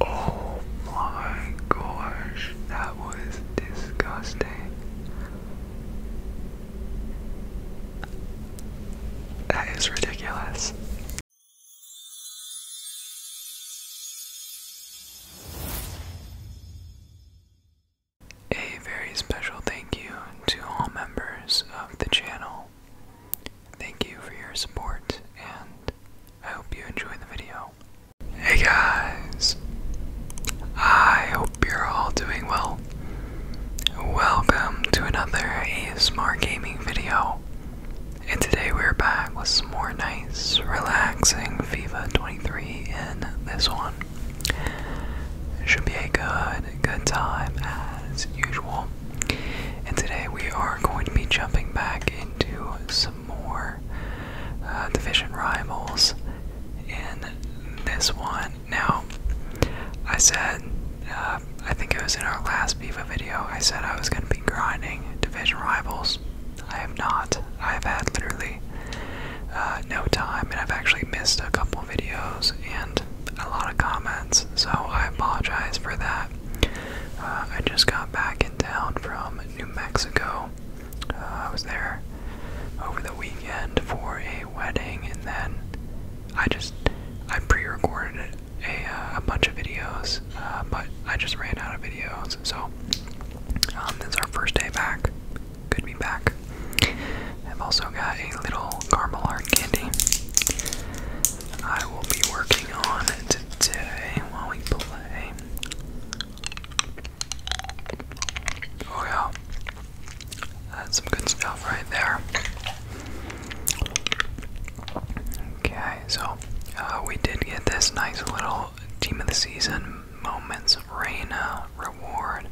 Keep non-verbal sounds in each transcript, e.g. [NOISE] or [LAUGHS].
Oh my gosh, that was disgusting. That is ridiculous. A very special thank you to all members of the channel. Thank you for your support and I hope you enjoy the video. Hey guys! I hope you're all doing well. Welcome to another ASMR gaming video. And today we're back with some more nice, relaxing FIFA 23 in this one. Should be a good, good time as usual. And today we are going to be jumping back into some more uh, division rivals in this one. Now, I said, uh, I think it was in our last Viva video, I said I was going to be grinding division rivals. I have not. I've had literally uh, no time, and I've actually missed a couple videos and a lot of comments, so I apologize for that. Uh, I just got back in town from New Mexico. Uh, I was there over the weekend for a wedding, and then I just I pre-recorded a, bunch of videos, but I just ran out of videos. So um, this is our first day back, Good be back. I've also got a little caramel heart candy. I will be working on it today while we play. Oh yeah, that's some good stuff right there. Okay, so uh, we did get this nice little team of the season, moments of Reina, reward.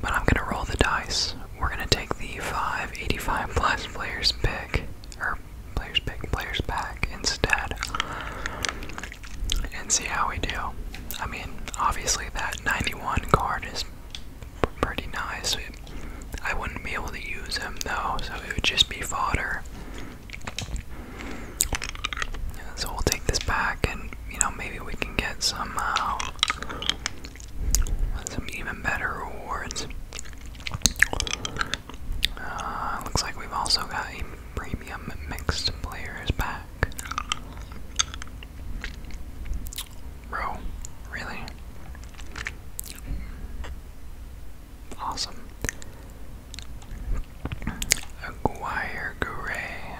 But I'm gonna roll the dice. We're gonna take the 585 plus players pick, or players pick, players back instead, and see how we do. I mean, obviously that 91 card is pretty nice. I wouldn't be able to use him though, so it would just be fodder. So we'll take this back, and you know maybe we can get some um, some even better rewards. Uh, looks like we've also got a premium mixed players pack. Bro, really? Awesome. Aguirre,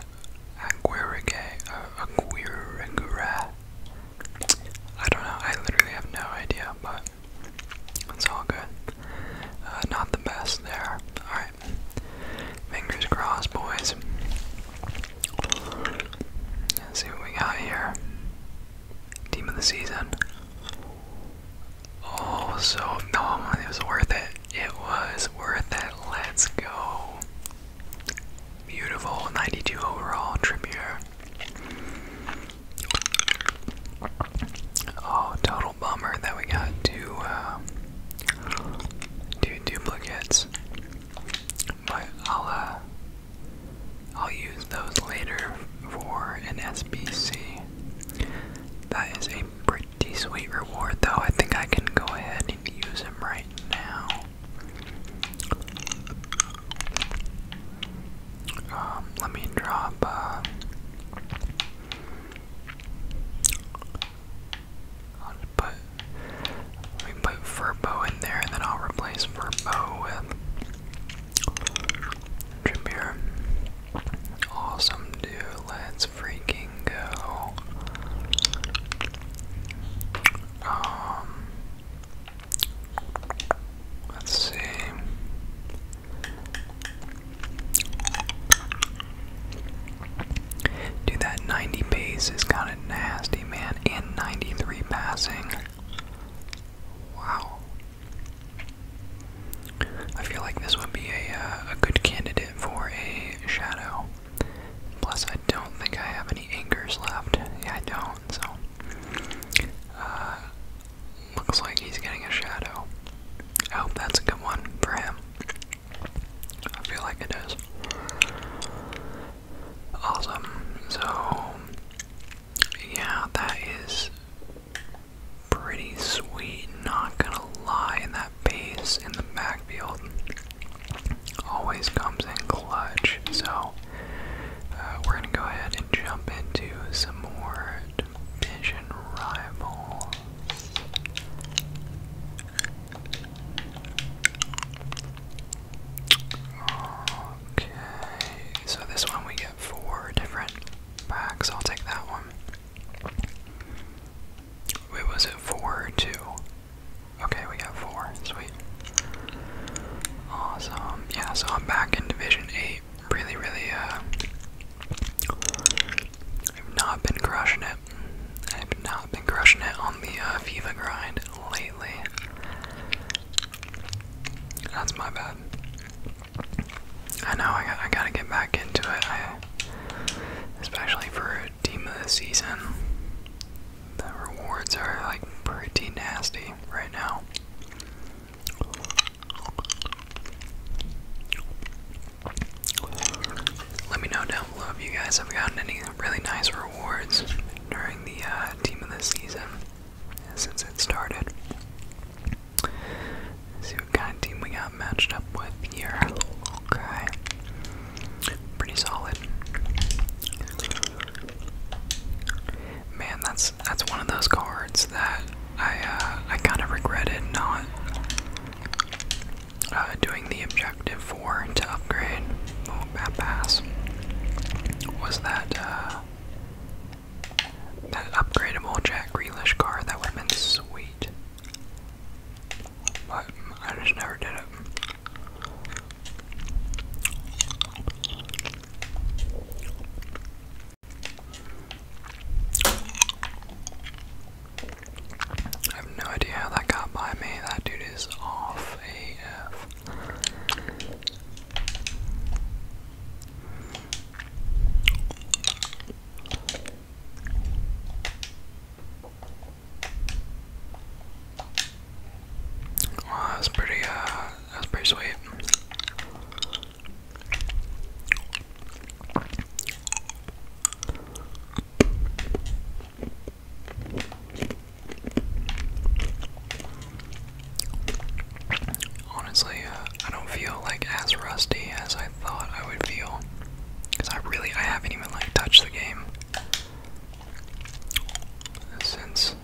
Aguirre, Aguirre. I don't know. I literally have no idea, but it's all good. Uh, not the best there. All right. Fingers crossed, boys. Let's see what we got here. Team of the season. Oh, so no, it was worth it. It was worth it. Let's go. Beautiful 92 overall Trippier. Oh, total bummer that we got two, uh, two duplicates. But I'll, uh, I'll use those later for an SBC. That is a pretty the sweet reward, though, I think I can go ahead and use him right now. Um, let me drop, uh, I'll put, let me put Furbo in there, and then I'll replace Furbo with Trippier. Awesome, dude. Let's freaking go. Um, let's see. Dude, that 90 base is kind of nasty, man. In 93 passing. Wow. I feel like this would be a, uh, a good candidate for a shadow. Plus, I don't think I have any anchors left. I don't, so. Uh, looks like he's getting a shadow. I hope that's a good one for him. I feel like it is. Awesome. So, yeah, that is pretty sweet, not gonna lie, and that base in the backfield always comes in clutch. So uh, we're gonna go ahead and jump into some more division rivals. Okay, so this one we get four different packs. I'll take that one. Wait, was it four or two? Okay, we got four. Sweet. Awesome. Yeah, so I'm back in Division 8. Really, really, uh. I've not been crushing it. I've not been crushing it on the uh, grind lately. That's my bad. I know I got I gotta get back into it. I, especially for team of the season. The rewards are like pretty nasty right now. Let me know down below if you guys have gotten any really nice rewards during the uh, team of the season since it started see what kind of team we got matched up with here. Okay. Pretty solid. Man, that's that's one of those cards that I uh, I kind of regretted not uh, doing the objective for to upgrade. Oh, bad pass. Was that uh, that upgradable Jack Grealish car, that would have been sweet. But I just never did it. I have no idea how that got by me. That dude is off AF. Wow, oh, that's pretty, uh, that's pretty sweet. Honestly, uh, I don't feel like as rusty as I thought I would feel, because I really I haven't even like touched the game since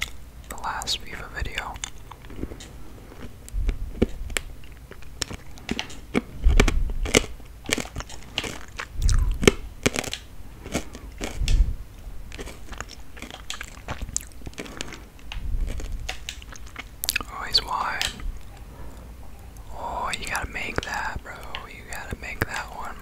the last FIFA video. Oh, wide. Oh, you gotta make that, bro. You gotta make that one.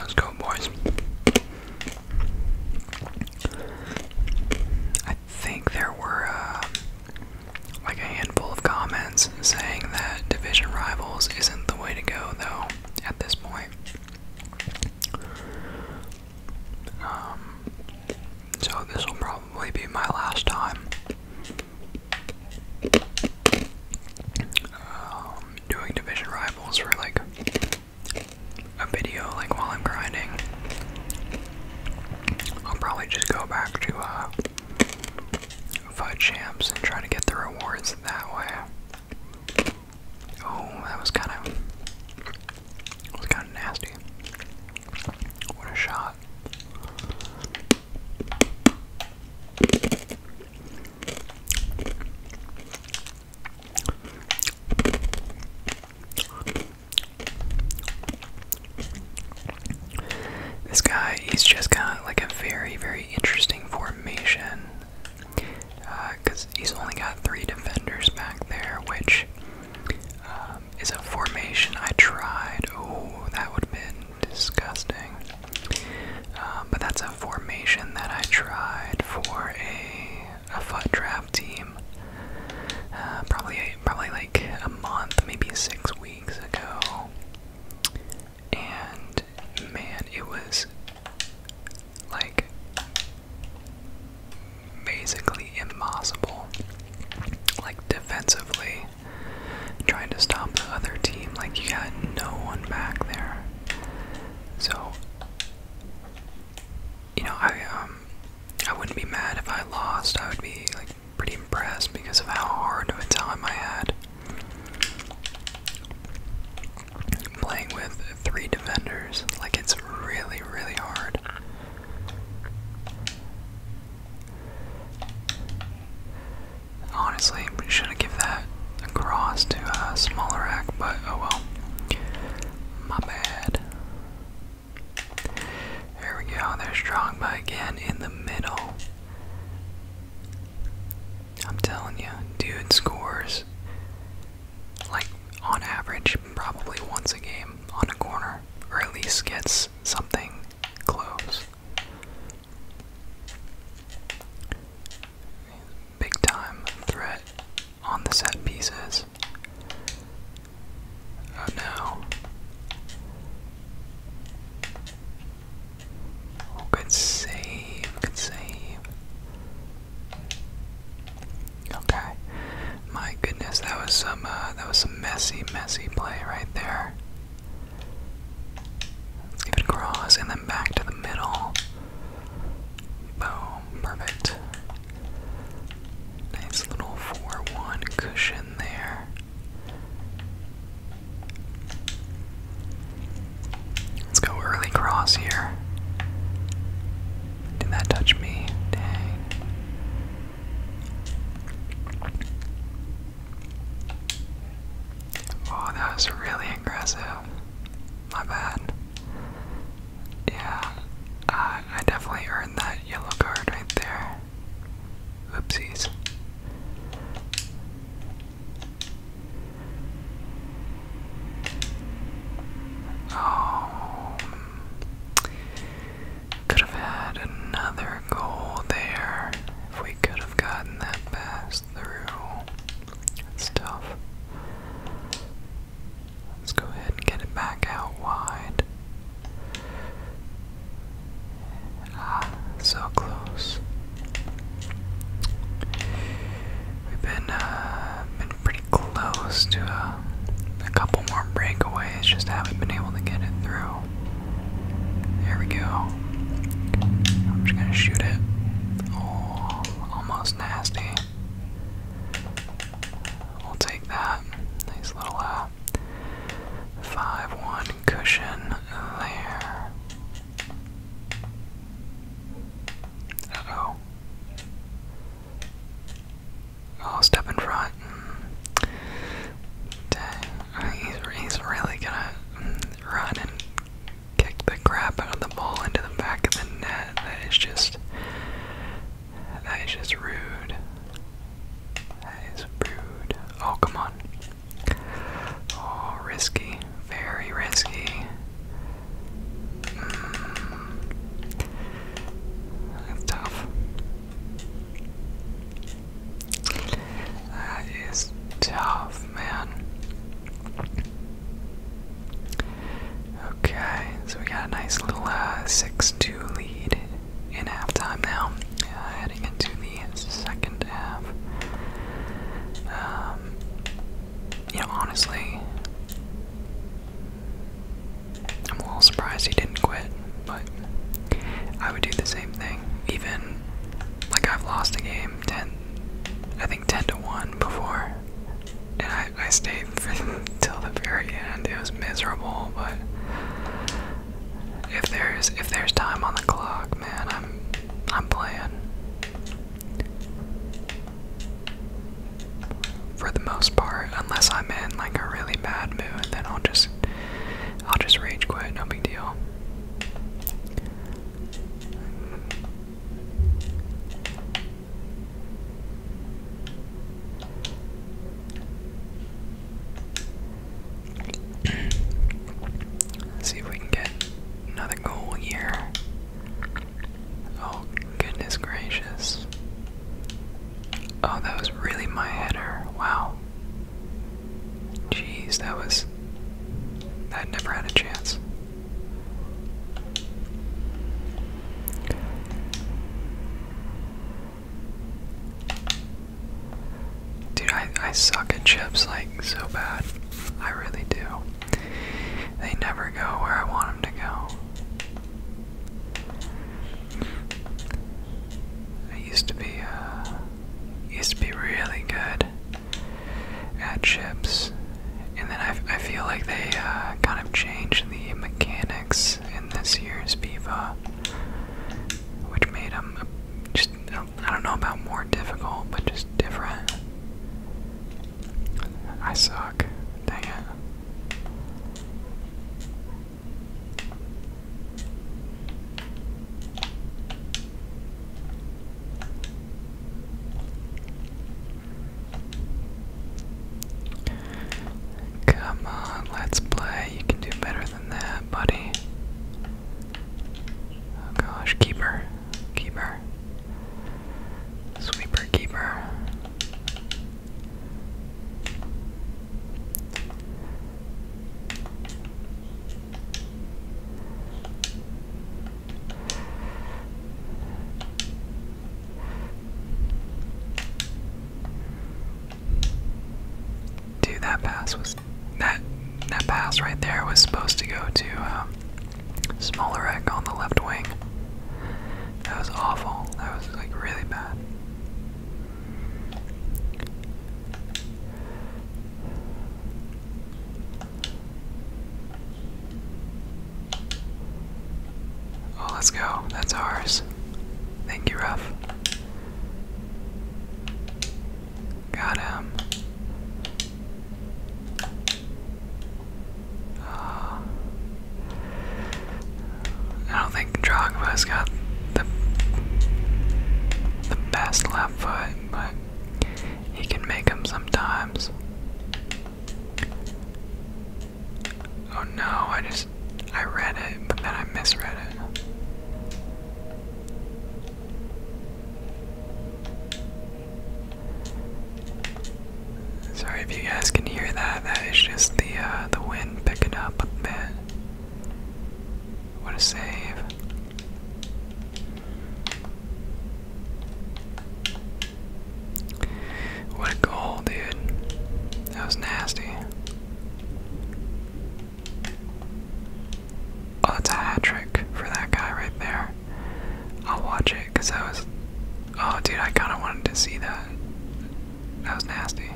Let's go, boys. I think there were um, like a handful of comments saying that division rivals isn't the way to go, though, at this point. Um, so this will probably be my last time um, doing division rivals for like a video like while I'm grinding. I'll probably just go back to uh, FUD Champs and try to get the rewards that way. Oh, that was kind of was kind of nasty. What a shot! This guy, he's just got like a very, very interesting formation. Because uh, he's only got three defenders back there, which um, is a formation I tried. Oh, that would have been disgusting. Um, but that's a formation that I tried for a a foot draft team uh, probably probably like a month, maybe six weeks ago. And man, it was like basically impossible. Like defensively, trying to stop the other team. Like you got no one back there. So you know, I um, I wouldn't be mad if I lost. I would be like pretty impressed because of how hard of a time I had playing with three defenders. Like it's really, really hard. Honestly, should have give that across to a smaller rack, but oh well. My bad. Here we go. They're strong by again in the middle. I'm telling you, dude scores like on average probably once a game on a corner, or at least gets something close big time threat on the set pieces. Oh no. Oh, good save, good save. Okay. My goodness, that was some uh, that was some messy, messy play right there. Let's give it a cross and then back to the middle. Boom, perfect. Nice little 4 1 cushion there. Let's go early cross here. Did that touch me? Dang. Oh, that was really aggressive. My bad. Yeah, I, definitely earned that yellow card right there. Oopsies. Oh. Could have had another goal there if we could have gotten that pass pass through stuff. Let's go ahead and get it back out wide. Ah, so close. We've been uh, been pretty close to a, couple more breakaways, just haven't been able to get it through. There we go. I'm just gonna shoot it. Oh, almost nasty. We'll take that. Nice little 5-1 uh, cushion there. oh Oh, step in front. Dang. He's, he's really gonna run and kicked the crap out of the ball into the back of the net. That is just that is just rude. That is rude. Oh come on. Oh risky. Very risky. Mm. tough. That is tough, man. Okay, so we got a nice little uh, 6 2 lead in halftime now, heading into the second half. Um, you know, honestly, I'm a little surprised he didn't quit, but I would do the same thing, even like I've lost a game ten, I think ten to one before, and I I stayed [LAUGHS] till the very end. It was miserable, but if there's if there's time on the clock, man, I'm I'm playing. For the most part, unless I'm in like a really bad mood, then I'll just I'll just rage quit. No big deal see if we can get another goal here. Oh, goodness gracious. Oh, that was really my header. Wow. Jeez, that was. i never had a chance. Dude, I, I suck at chips like so bad. I really do. They never go where I want them to go. I used to be uh, used to be really good at chips, and then I, I feel like they uh, kind of changed the mechanics in this year's Viva, which made them just I don't know about more difficult, but just different. I suck. Dang it. Come on, let's play. You can do better than that, buddy. Oh gosh, keeper, keeper, sweeper, keeper. Dude, that pass was that that pass right there was supposed to go to um, smaller egg on the left wing. That was awful. That was like really bad. Oh, let's go. That's ours. Thank you, Ruff. Got him. Uh, I don't think Drogba's got the the best left foot but he can make them sometimes. Oh no, I just I read it, but then I misread it. Sorry if you guys can hear that. That is just the uh, the wind picking up a bit. What a save! What a goal, dude. That was nasty. Oh, that's a hat trick for that guy right there. I'll watch it that was. Oh, dude, I kind of wanted to see that. That was nasty.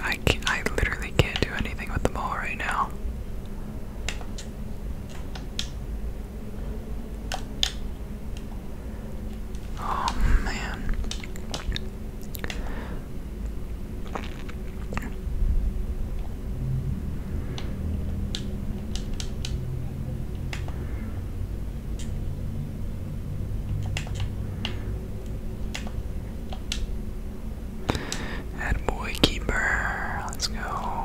I can't, I literally can't do anything with the ball right now. Oh man. That boy keeper. Let's go.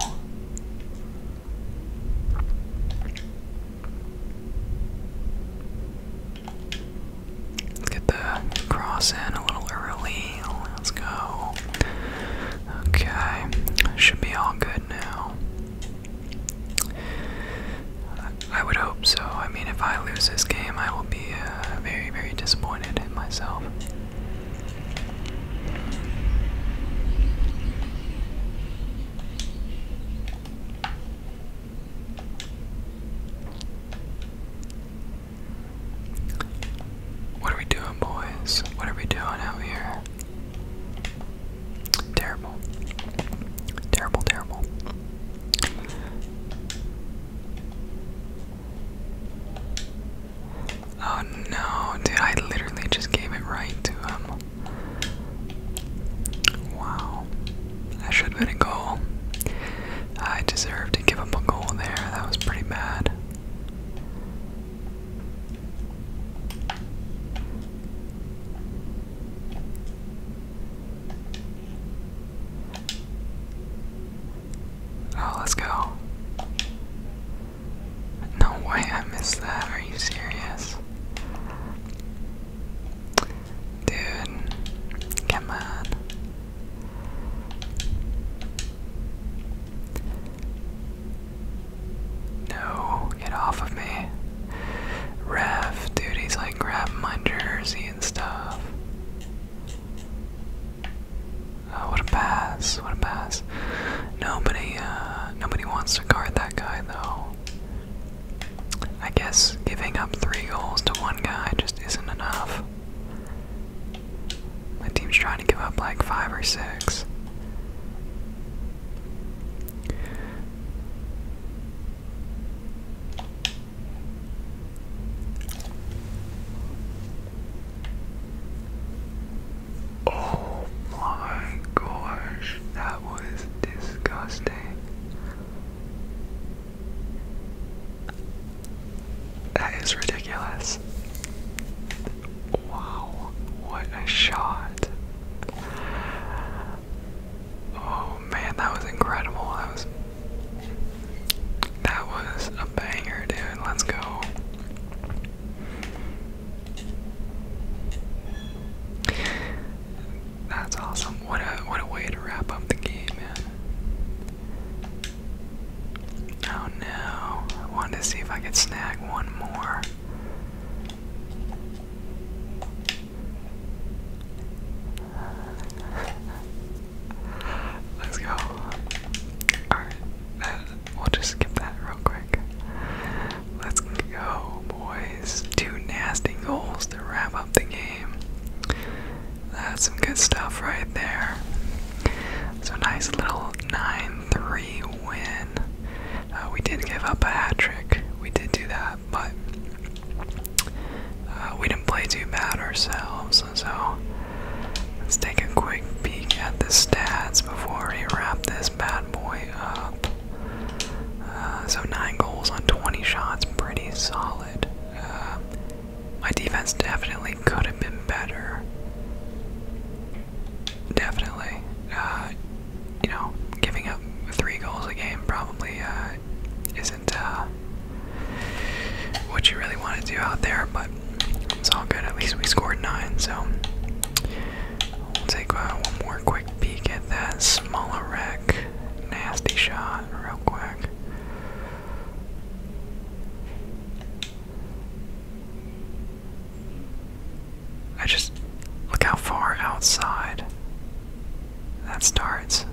Let's get the cross in a little early. Let's go. Okay. Should be all good now. I would hope so. I mean, if I lose this game, I will be uh, very, very disappointed in myself. What are we doing, boys? What are we doing out here? Terrible. Terrible, terrible. Oh no, dude, I literally just gave it right to him. Wow. That should have been a goal. I deserve to give up a goal there. That was pretty bad. Oh, let's go. No way I missed that. Are you serious? Dude, come on. No, get off of me. Ref, dude, like grabbing my jersey and stuff. Oh, what a pass, what a pass. Nobody, uh, nobody wants to guard that guy though. I guess giving up three goals to one guy just isn't enough. My team's trying to give up like five or six. Oh my gosh, that was disgusting. That is ridiculous. Wow, what a shot. Oh man, that was incredible. That was that was a banger, dude. Let's go. That's awesome. What a what a way to wrap up the game, man. Oh no. I wanted to see if I could snag one more. Let's go. Alright, we'll just skip that real quick. Let's go, boys. Two nasty goals to wrap up the game. That's some good stuff right there. So, nice little 9 3 win. Uh, we did give up a hat trick. We did do that, but uh, we didn't play too bad ourselves. So let's take a quick peek at the stats before we wrap this bad boy up. Uh, so nine goals on 20 shots, pretty solid. my defense definitely could have been better definitely. Uh, you know, giving up three goals a game probably uh, isn't uh, what you really want to do out there, but it's all good. At least we scored nine, so we'll take uh, one more quick peek at that smaller rec, Nasty shot, real quick. I just look how far outside that starts.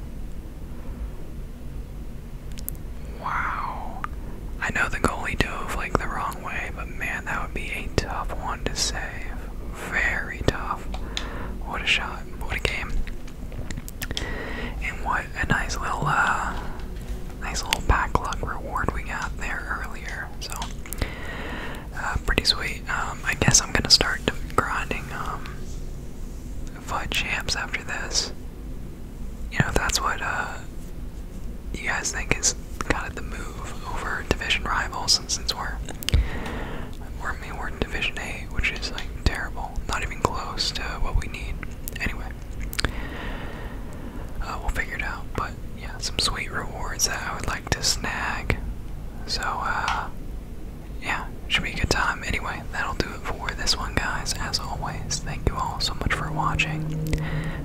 Wow. I know the goalie dove like the wrong way, but man, that would be a tough one to save. Very tough. What a shot. What a game. And what a nice little uh, nice little back luck reward we got there earlier. So uh, pretty sweet. Um, I guess I'm gonna start grinding um, champs after this. You know, that's what uh, you guys think is kind of the move over division rivals, since we're we're, we're Division Eight, which is like terrible, not even close to what we need. Anyway, uh, we'll figure it out. But yeah, some sweet rewards that I would like to snag. So, uh, yeah, should be a good time. Anyway, that'll do it for this one, guys. As always, thank you all so much for watching.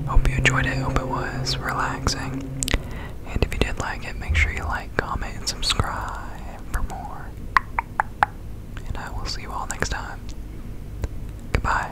Hope you enjoyed it. Hope it was relaxing. And if you did like it, make sure you like, comment, and subscribe for more. And I will see you all next time. Goodbye.